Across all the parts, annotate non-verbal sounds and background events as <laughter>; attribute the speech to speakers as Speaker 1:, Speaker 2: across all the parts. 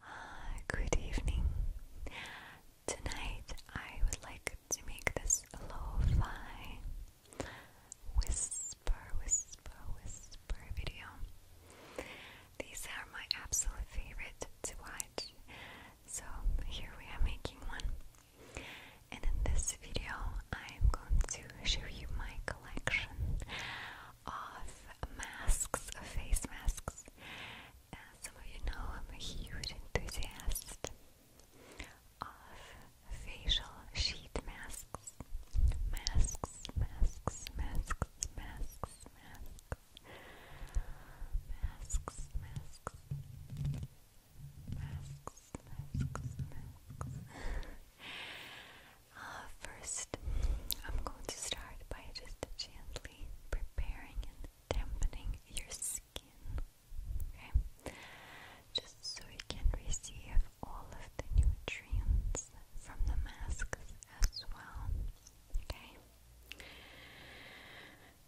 Speaker 1: <sighs> good evening. Tonight I would like to make this lo-fi whisper, whisper, whisper video. These are my absolute favorite to watch. So here we are making one. And in this video, I am going to show you my collection of masks, of face masks. As some of you know, I'm a huge enthusiast of facial sheet masks. Masks, masks, masks, masks, masks. Masks, masks. Masks, masks, masks. Uh, first, I'm going to start by just gently preparing and dampening your skin. Okay? Just so you can receive all of the nutrients from the masks as well. Okay?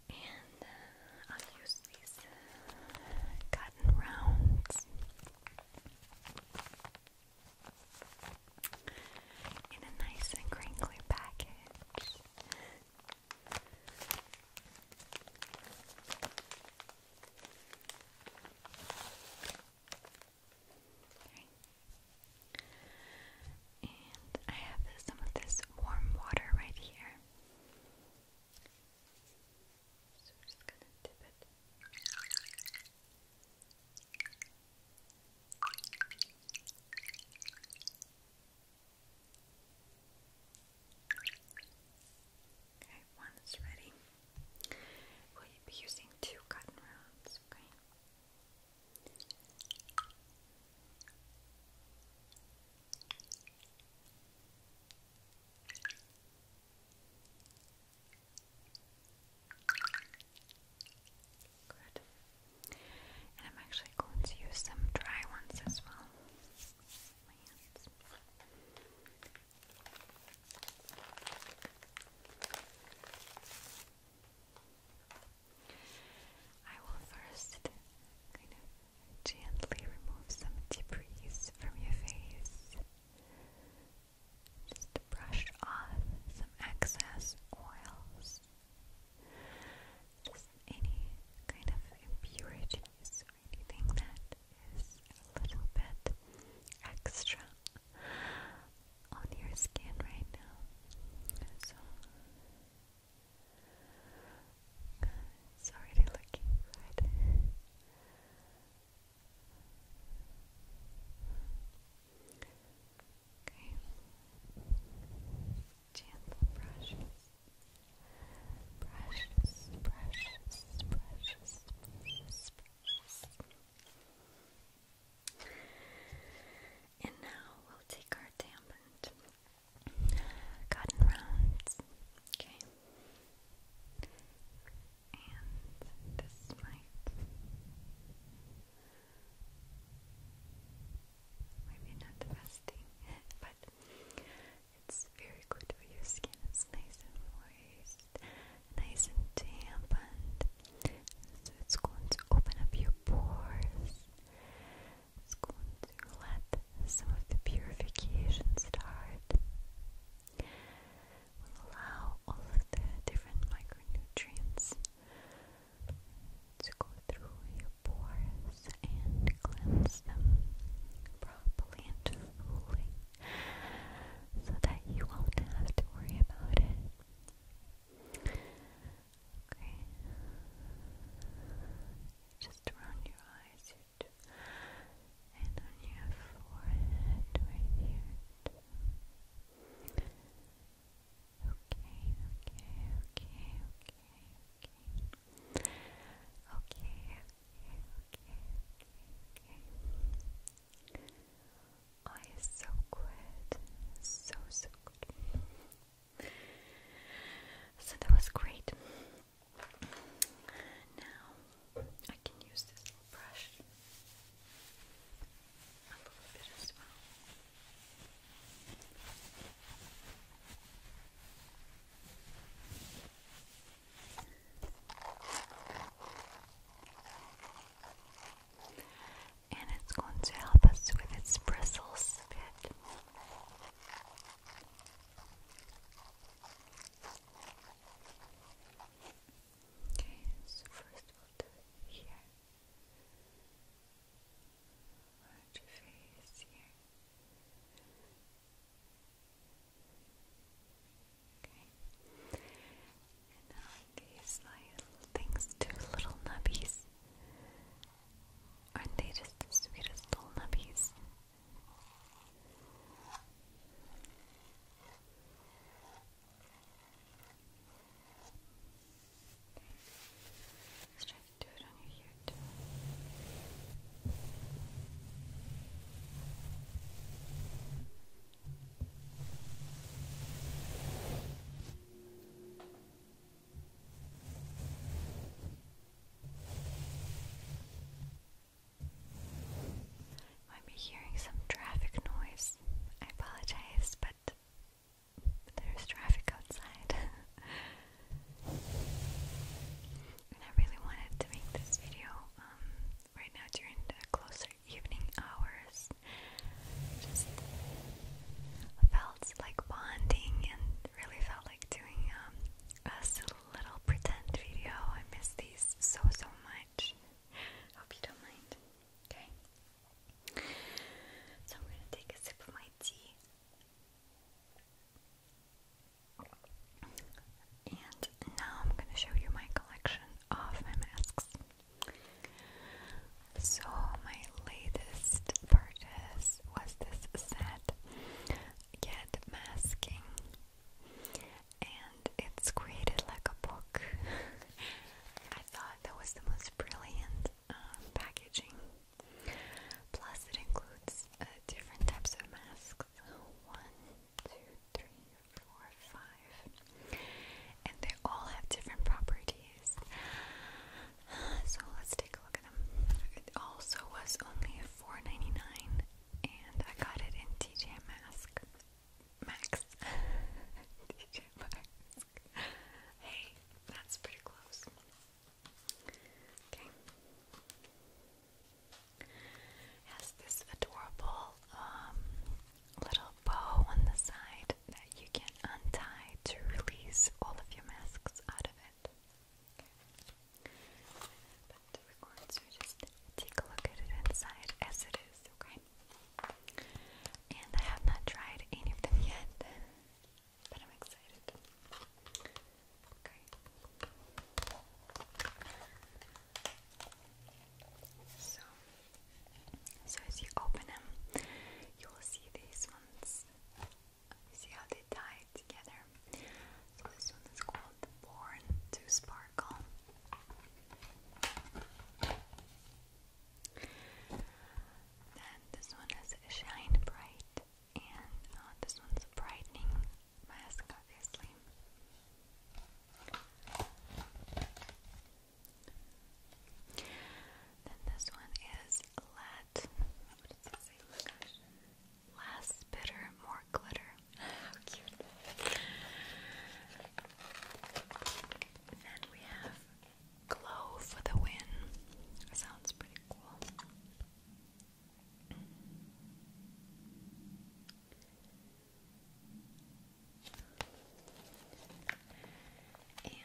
Speaker 1: And uh, I'll use these uh, cotton rounds in a nice and crinkly package. And I have some of this warm water right here. So we're just gonna dip it. Okay, one is ready. We'll be using two cotton rounds, Okay, and I'm actually going to use some dry ones as well. I will first kind of gently remove some debris from your face just to brush off some excess oils, just any kind of impurities or anything that is a little bit extra on your skin right now. So it's already looking good. Okay. Gentle brushes. brushes, brushes, brushes, brushes. And now we'll take our dampened cotton rounds. Okay. And this might Maybe not the best thing, <laughs> but it's very good for your skin. It's nice and moist, nice and damp, and so it's going to open up your pores. It's going to let some of the purification start. allow all of the different micronutrients to go through your pores and cleanse them properly and fully so that you won't have to worry about it. Okay. Just around your eyes your and on your forehead right here. Okay, okay, okay, okay, okay. Okay, okay, okay, okay, okay. Oh, so So, so that was great. Now I can use this brush a little And it's going to help us with its bristles Okay, so first we'll do here. Watch your face here. Okay. And now these little things, two little nubbies. Aren't they just the sweetest little nubbies? Let's try to do it on your ear too. Might be hearing some traffic noise. I apologize, but there's traffic outside. <laughs> and I really wanted to make this video um, right now during the closer evening hours. Just felt like bonding and really felt like doing um, a little pretend video. I miss these so, so much. Hope you don't mind. Okay. So I'm going to take a sip of my tea. And now I'm going to show you my collection of my masks. So, my latest purchase was this set Get Masking, and it's created like a book. <laughs> I thought that was the most brilliant um, packaging. Plus, it includes uh, different types of masks one, two, three, four, five, and they all have different properties. So, let's take a look at them. It also was only $4.99, and I got it in TJ Mask. Max. <laughs> mask. <laughs> Hey, that's pretty close. Okay. Has this adorable um, little bow on the side that you can untie to release all of your masks out of it. Okay. But we're going to just take a look at it inside as it is, okay? and I have not tried any of them yet, but I'm excited. So, so as you open them, you will see these ones. see how they tie together. So this one is called Born to Sparkle. Then this one is Shine Bright, and uh, this one's a brightening mask, obviously. Then this one is Let. What does it say? Oh Less bitter, more glitter. How cute! Then we have glow for the win. Sounds pretty cool. And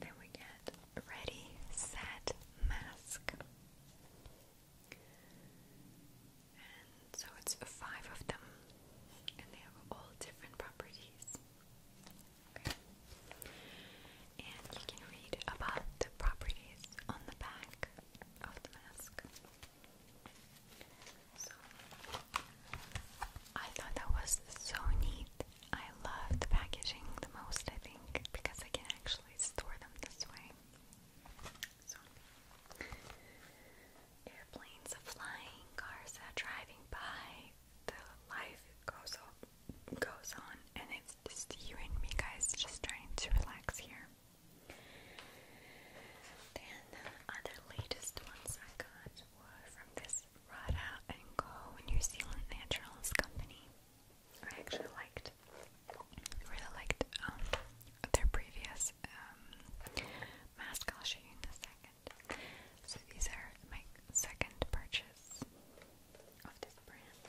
Speaker 1: then we get ready, set, mask. And so it's five of them, and they have all different properties. And you can read about the properties on the back of the mask. So I thought that was so neat. I love the packaging the most, I think, because I can actually store them this way. So, airplanes are flying, cars are driving by, the life goes on, goes on, and it's just you and me, guys, just trying to relax here. Then the latest ones I got were from this Rada and Co. New Zealand Naturals company. I actually liked, really liked um, their previous um, mask. I'll a second. So these are my second purchase of this brand.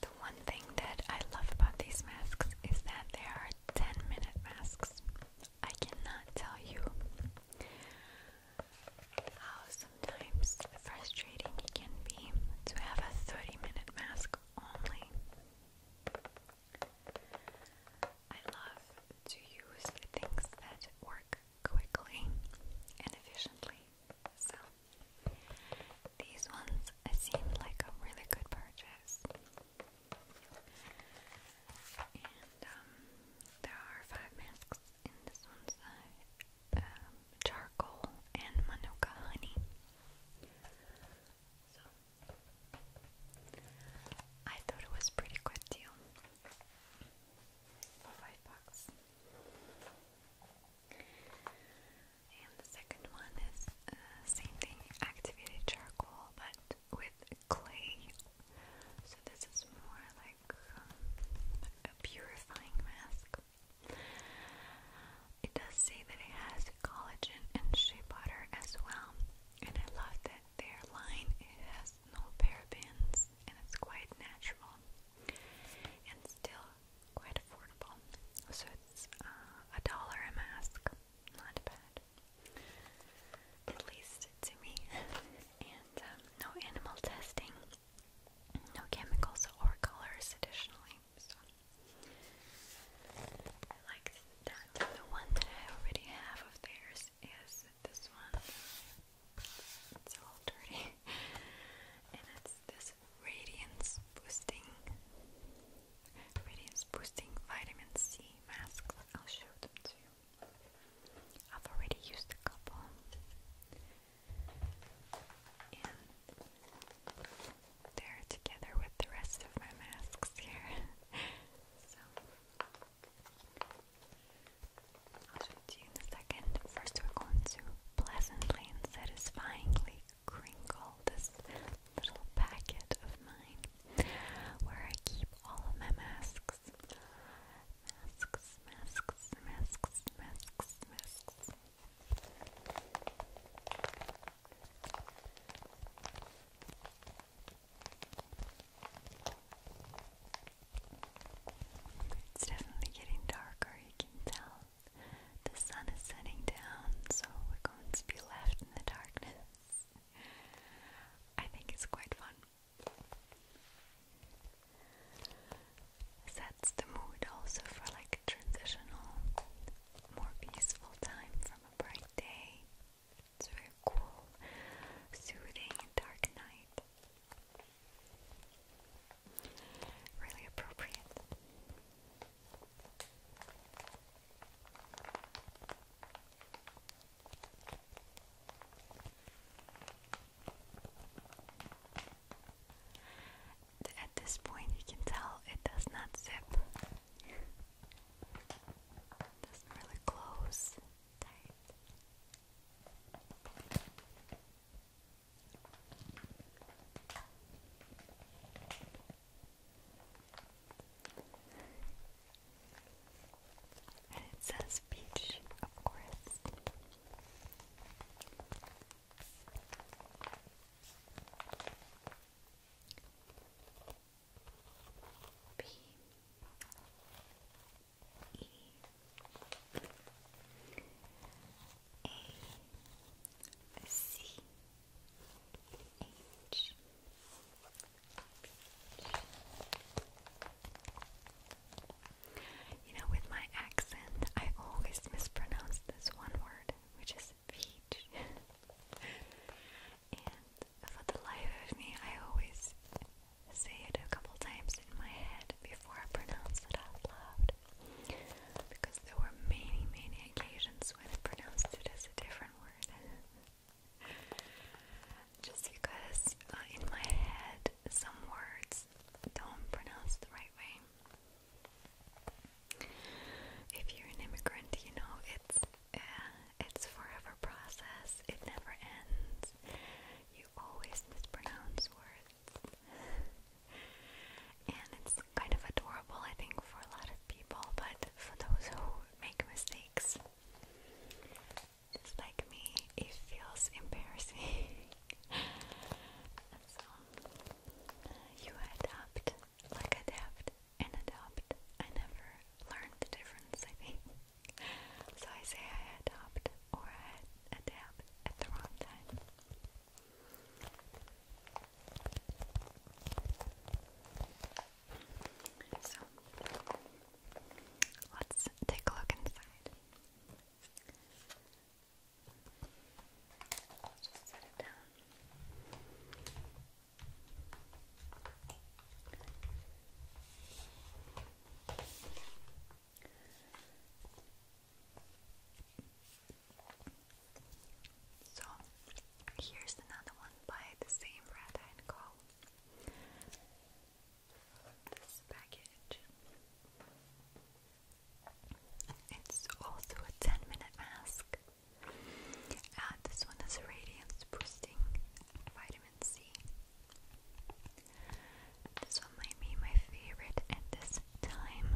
Speaker 1: The one thing that I love about these masks is that they are 10 minute masks. I cannot tell you how sometimes frustrating it can be to have a 30 minute mask only love to use things that work quickly and efficiently. So these ones seem like a really good purchase. And um, there are five masks in this one's uh, um, charcoal and manuka honey. So I thought it was pretty good deal for five bucks. And the second one is uh, same thing, activated charcoal, but with clay. So this is more like um, a purifying mask. It does say that it has collagen and shea butter as well, and I love that their line it has no parabens, and it's quite natural and still quite affordable. So it's uh, a dollar a mask, not bad, at least to me. and um, no animal testing, no chemicals or colors additionally. So I like that. The one that I already have of theirs this this one. It's all dirty. <laughs> and it's this radiance boosting radiance boosting vitamin C mask. I'll show them to you. I've already used a couple. And they're together with the rest of my masks here. <laughs> so I'll show it to you in a second. First, we're going to pleasantly and satisfyingly crinkle this little packet of mine where I keep all of my masks. Masks, masks, masks, masks, masks. It's definitely getting darker, you can tell. The sun is setting down, so we're going to be left in the darkness. I think it's quite fun. Sets the mood also for like a transitional, more peaceful time from a bright day it's very cool, soothing, dark night. Really appropriate. At this point, you can tell it does not zip. doesn't really close tired. And it says beach, of course. B E A C H You know, with my accent, I always mispronounce this one word, which is peach. <laughs> for the life of me, I always say it a couple times in my head before I pronounce it out loud. Because there were many, many occasions when I pronounced it as a different word. <laughs> Just because uh, in my head some words don't pronounce the right way. If you're an immigrant, you know it's uh, it's forever process. It never ends. You always mispronounce words. and it's kind of adorable, I think, for a lot of people, but for those who make mistakes, just like me, it feels embarrassing. <laughs> so, you adapt, like adapt, and adapt. I never learned the difference, I think. So I say I had hopped or I had a dab at the wrong time. So let's take a look inside. I'll just set it down. So here's another one by the same Red and This package. It's also a 10 minute mask. Uh, this one is radiance boosting vitamin C this one might be my favorite at this time.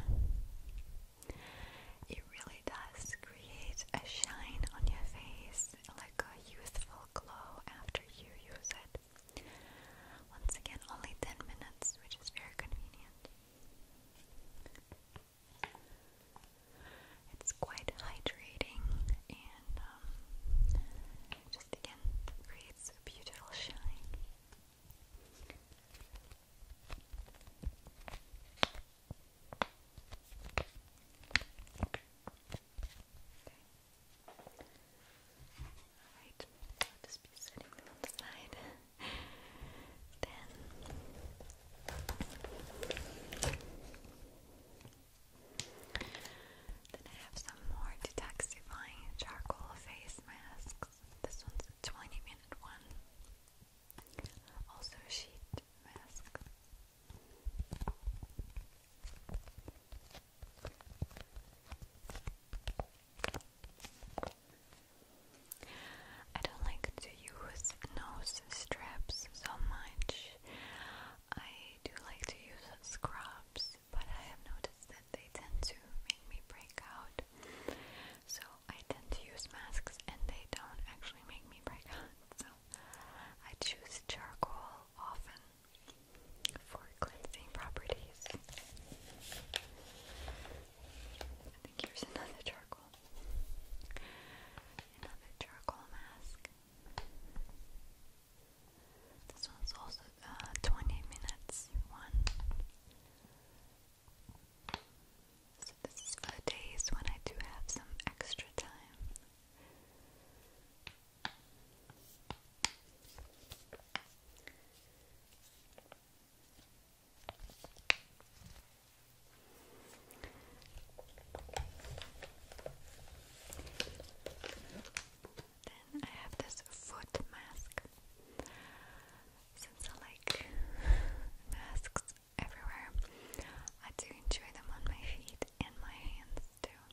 Speaker 1: It really does create a shine on your face, like a youthful glow after you use it. Once again, only 10 minutes, which is very convenient. It's quite hydrating and um, just again creates a beautiful shine. Okay. Alright, just be setting them on the side. then then I have some more detoxifying charcoal face masks. This one's a 20 minute one. Also sheet mask. I don't like to use nose straps so much. I do like to use scrubs but I have noticed that they tend to make me break out. So I tend to use masks and they don't actually make me break out. So I choose charcoal often for cleansing properties. I think here's another charcoal. Another charcoal mask. This one's also uh, 20 minutes one. So this is for days when I do have some extra time. Then I have this foot mask. Since I like masks everywhere, I do enjoy them on my feet and my hands too.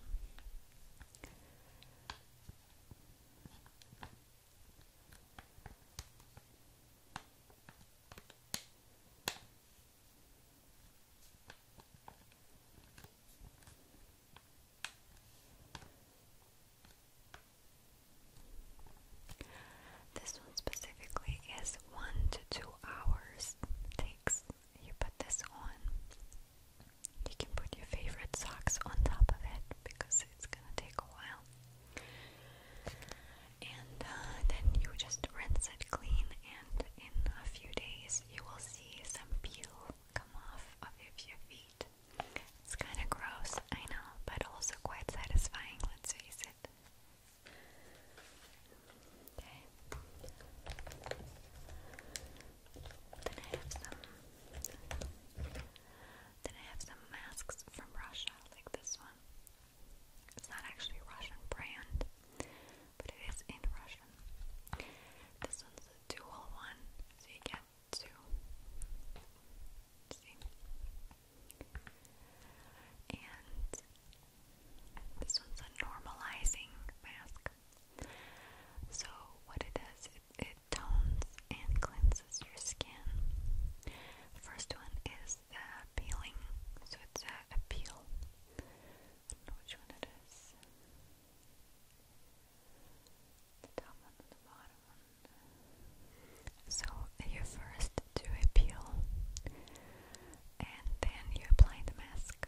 Speaker 1: This one specifically is one to two hours takes. You put this on. You can put your favorite socks on top of it because it's gonna take a while. And uh, then you just rinse it clean, and in a few days you will see some peel come off of your feet. It's kind of gross, I know, but also quite satisfying, let's face it. Okay. Then I have some Then I have some masks from Russia, like this one. It's not actually Russian brand, but it is in Russian. This one's dual one, so two. And this one's a normalizing mask. So, what it does, is it tones and cleanses your skin. The first one is the peeling, so it's a, peel. which one it is the So you first do a peel and then you apply the mask.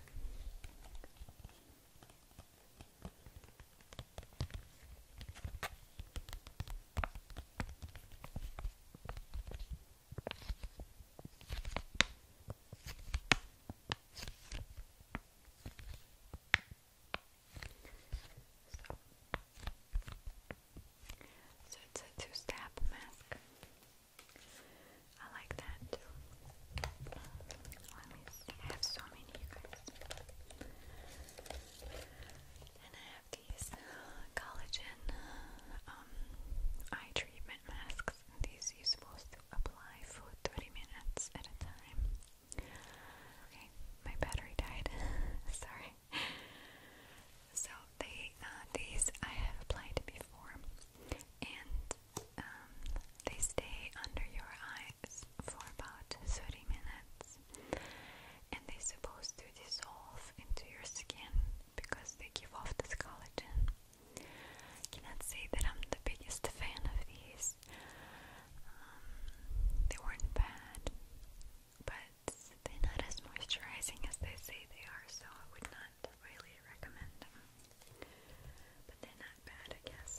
Speaker 1: So, it's a two-step mask. I like that Let me see. I have so many, you And I have these collagen uh, um, eye treatment masks. These you're supposed to apply for 30 minutes at a time. Okay, my battery died. <laughs> Sorry. So they uh, these I have applied before, and um, they stay under your eyes for about thirty minutes, and they're supposed to dissolve into your skin because they give off this collagen. cannot say that I'm the biggest fan of these movies. Um, they weren't bad, but they're not as moisturizing as they say they are, so I would not really recommend them. But they're not bad, I guess.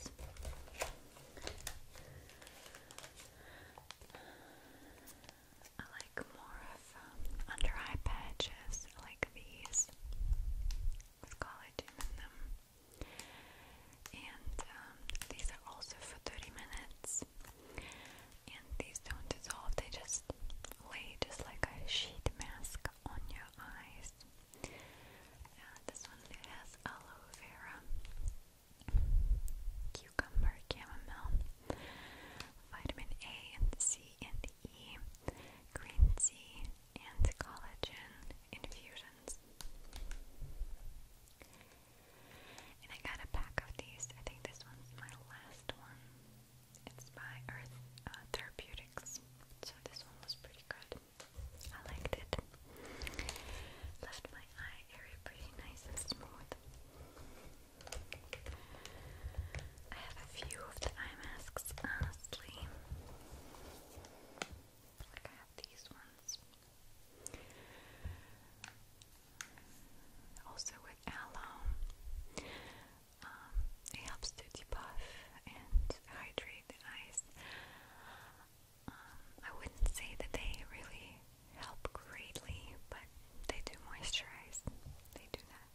Speaker 1: I like more of um, under eye patches like these collagen in them. And um, these are also for 30 minutes. And these don't dissolve, they just lay just like a sheet mask on your eyes. Uh, this one has aloe vera, cucumber, chamomile, vitamin A and C and E, green tea, and collagen infusion friends. And I got a pack of these. I think this one's my last one. It's by Earth uh, Therapeutics. So this one was pretty good. I liked it. Left my eye area pretty nice and smooth. I have a few of the eye masks, honestly. Like I have these ones. Also with aloe, um, it helps to debuff and hydrate the eyes. Um, I wouldn't say that they really help greatly, but they do moisturize. They do that.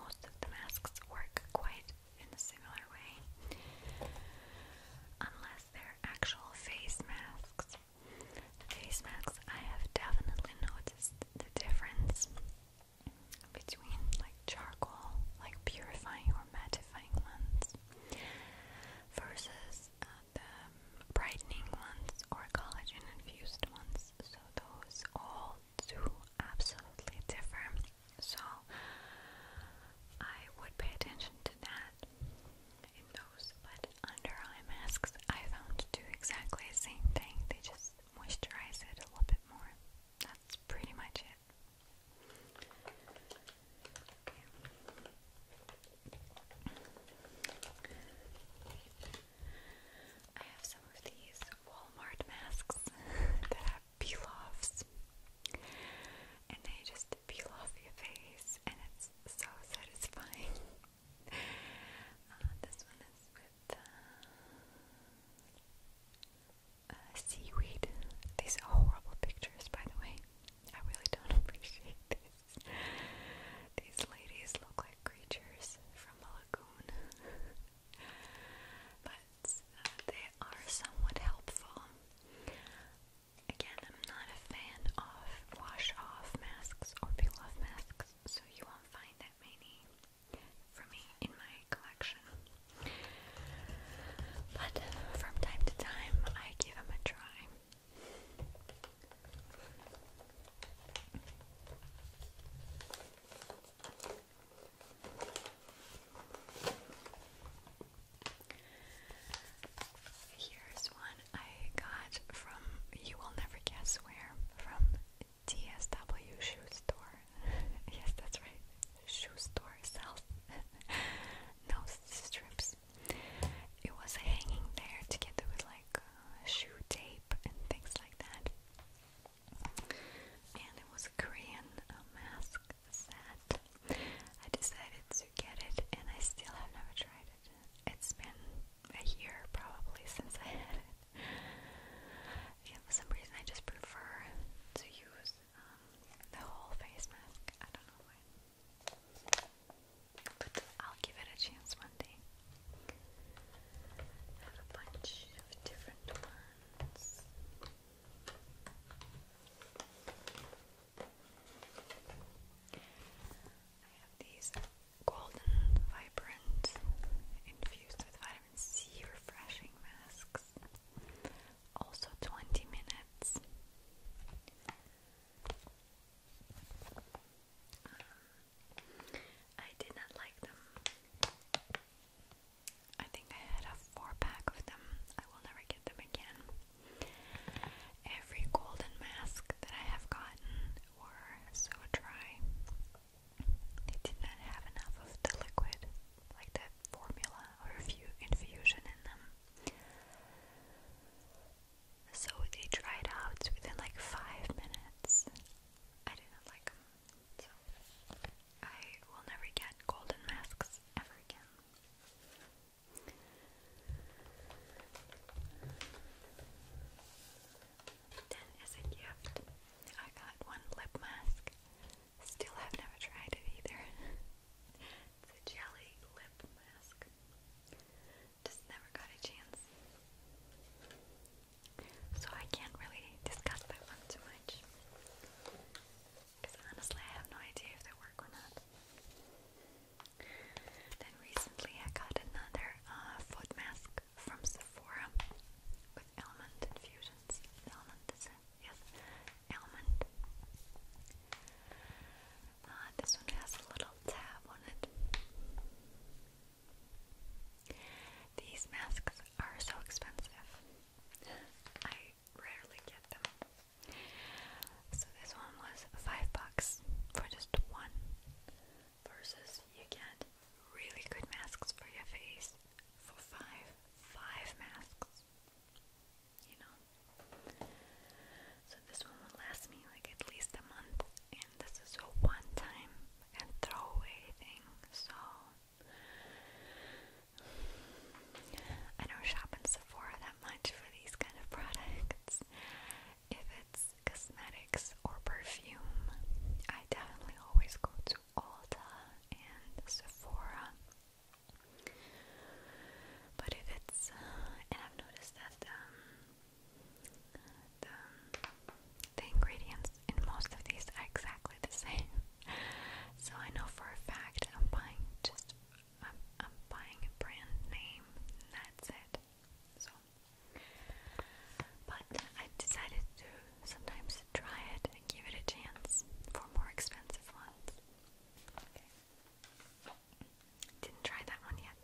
Speaker 1: Most of the masks work quite in a similar way, unless as their actual face masks. The face masks, I have definitely noticed the difference between like charcoal, like purifying or mattifying ones, versus uh, the brightening ones or collagen infused ones. So those all do absolutely differ. So I would pay attention to that in those, but under eye masks I found to do exactly the same thing. They just moisturize it a little bit more. That's pretty much it. Okay. I have some of these Walmart masks <laughs> that I have And they just peel off your face, and it's so satisfying. <laughs> Uh, this one is with uh, uh, seaweed. These are horrible pictures, by the way. I really don't <laughs> appreciate this. These ladies look like creatures from a lagoon. <laughs> but they are somewhat helpful. Again, I'm not a fan of wash off masks or peel off masks, so you won't find that many for me in my collection. But from time to time, I give them a try. Here's one I got from, you will never guess where, from TSW Shoe Store. <laughs> yes, that's right. Shoe Store sells <laughs> nose strips. It was hanging there together with like uh, shoe tape and things like that. And it was a Korean uh, mask was that I decided to get it and I still have never tried it. It's been a year probably since I had it. Yeah, for some reason I just prefer to use um, the whole face mask. I don't know why. But I'll give it a chance one day. I have a bunch of different ones. I have these golden, vibrant, infused with vitamin C refreshing masks. Also 20 minutes. Um, I did not like them. I think I had a four pack of them. I will never get them again. Every golden mask that I have gotten were so dry. They did not have enough of the liquid, like that formula or infusion in them. So they dried out within like five minutes. I didn't like them. So I will never get golden masks ever again. Then as a gift, I got one lip mask. Still have never tried it either. <laughs> it's a jelly lip mask. Just never got a chance. So I can't really discuss that one too much. Because honestly, I have no idea if they work or not. Then recently, I got another uh, foot mask from Sephora with almond infusions. Almond, is it? Yes, almond. Uh, this one has a little tab on it. These masks are so expensive. I rarely get them. So this one was five bucks for just one. Versus you get really good masks for your face for five, five masks. You know. So this one will last me like at least a month, and this is a one-time and throwaway thing. So I don't shop in Sephora that much for these kind of products. If it's cosmetics or perfume, I definitely always go to Ulta and Sephora. But if it's, uh, and I've noticed that um, the, the ingredients in most of these are exactly the <laughs> same. So I know for a fact I'm buying just I'm, I'm buying a brand name, that's it. So, but I decided to sometimes try it and give it a chance for more expensive ones. Didn't try that one yet.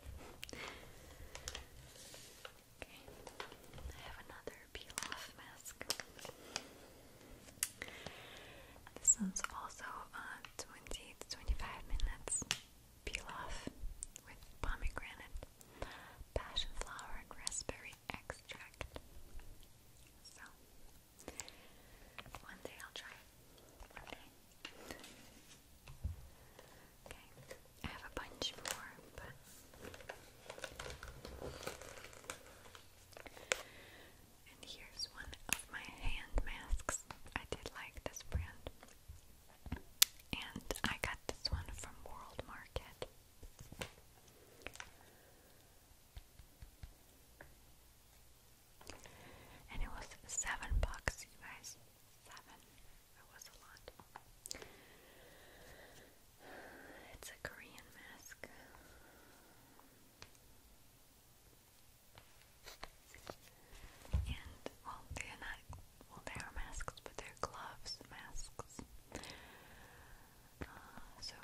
Speaker 1: Okay, I have another peel off mask. This one's also on uh, 20 seeds, 25 minutes. Peel off with pomegranate, passion flower, and raspberry extract. So, one day I'll try it. Okay. Okay, I have a bunch more, but and here's one of my hand masks. I did like this brand. And I got this one from World Market. And it was seven bucks, you guys. Seven. It was a lot. It's a Korean mask. And well, they're not well, they are masks, but they're gloves masks. Uh, so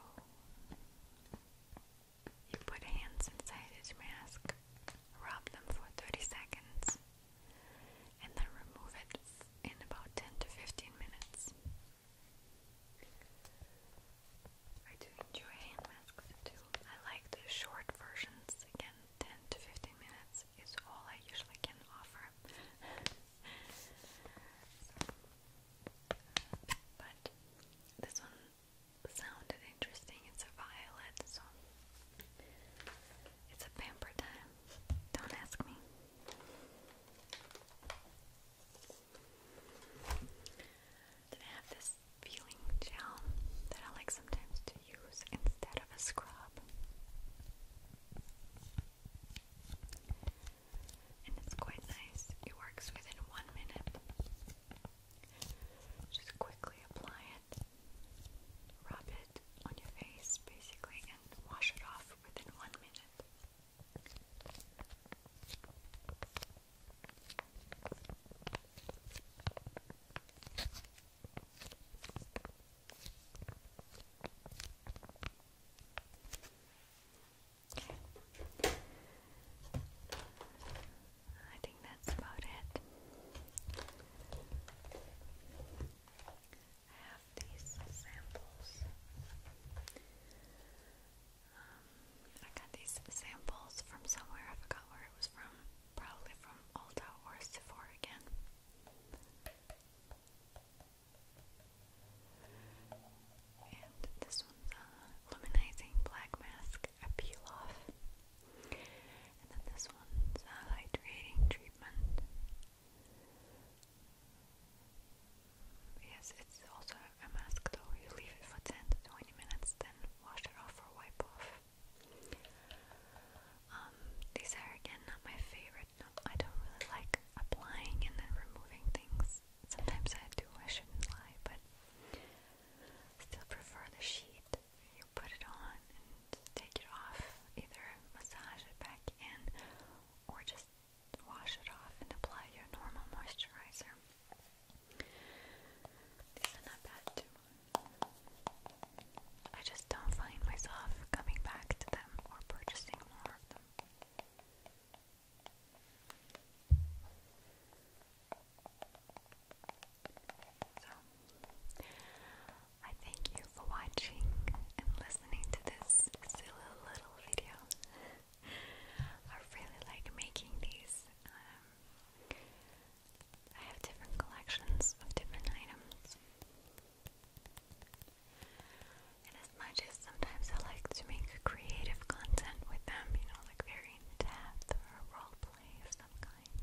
Speaker 1: you put hands inside each mask, rub them for 30 seconds, and then remove it in about 10 to 15 minutes. I do enjoy hand too. I like the short versions, again, 10 to 15 minutes is all I usually can offer. <laughs> but this one sounded interesting. It's a violet, so it's a pamper time. Don't ask me. I have this peeling gel that I like sometimes to use instead of a scrub. And it's quite nice. It works within one minute. Just quickly apply it, rub it on your face basically, and wash it off within one minute. Okay. I think that's about it. I have these samples. Um, I got these samples from somewhere, I forgot where it was from. Probably from Ulta or Sephora again. And this one's a luminizing black mask, a peel off. And then this one's a hydrating treatment. Yes, it's also a mask though. You leave it for 10 to 20 minutes, then wash it off or wipe off. Um, these are again not my favorite. No, I don't really like applying and then removing things. Sometimes I do, I shouldn't lie, but still prefer the sheet. You put it on and take it off, either massage it back in or just wash it off and apply your normal moisturizer. These are not bad I just don't find myself coming back to them or purchasing more of them. So, I thank you for watching and listening to this silly little video. <laughs> I really like making these. Um, I have different collections of different items. And as much as sometimes I like to make creative content with them, you know, like very in depth or role of some kind,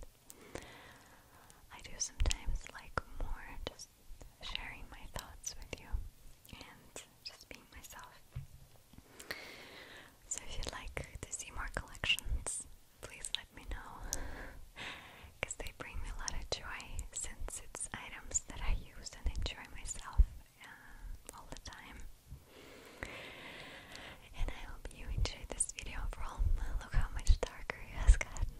Speaker 1: I do sometimes like more just sharing my thoughts with you and just being myself. So if you'd like to see more collections, please let me know. Because <laughs> they bring me a lot of joy since it's items that I use and enjoy myself uh, all the time. And I hope you enjoyed this video Look how much darker it has gotten.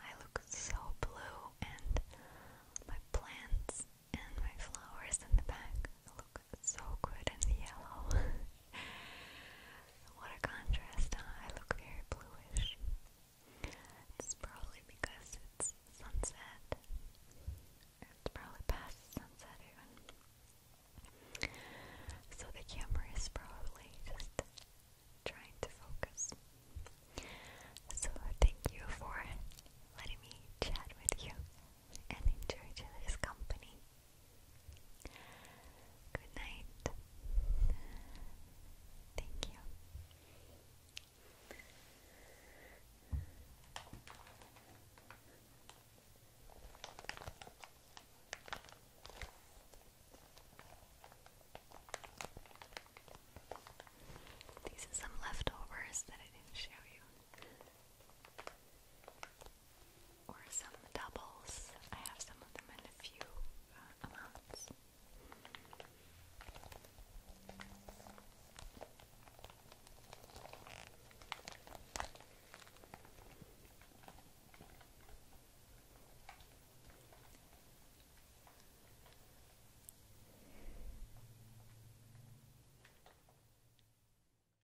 Speaker 1: I look so blue and my plants and my flowers in the back look so good in the yellow. <laughs> what a contrast, I look very bluish. It's probably because it's sunset. It's probably past sunset even. So the camera is probably just trying to focus. So thank you for letting me chat with you and enjoy each other's company. Good night. Thank you. These are some leftovers that I didn't show you or some doubles. I have some of them in a few uh, amounts.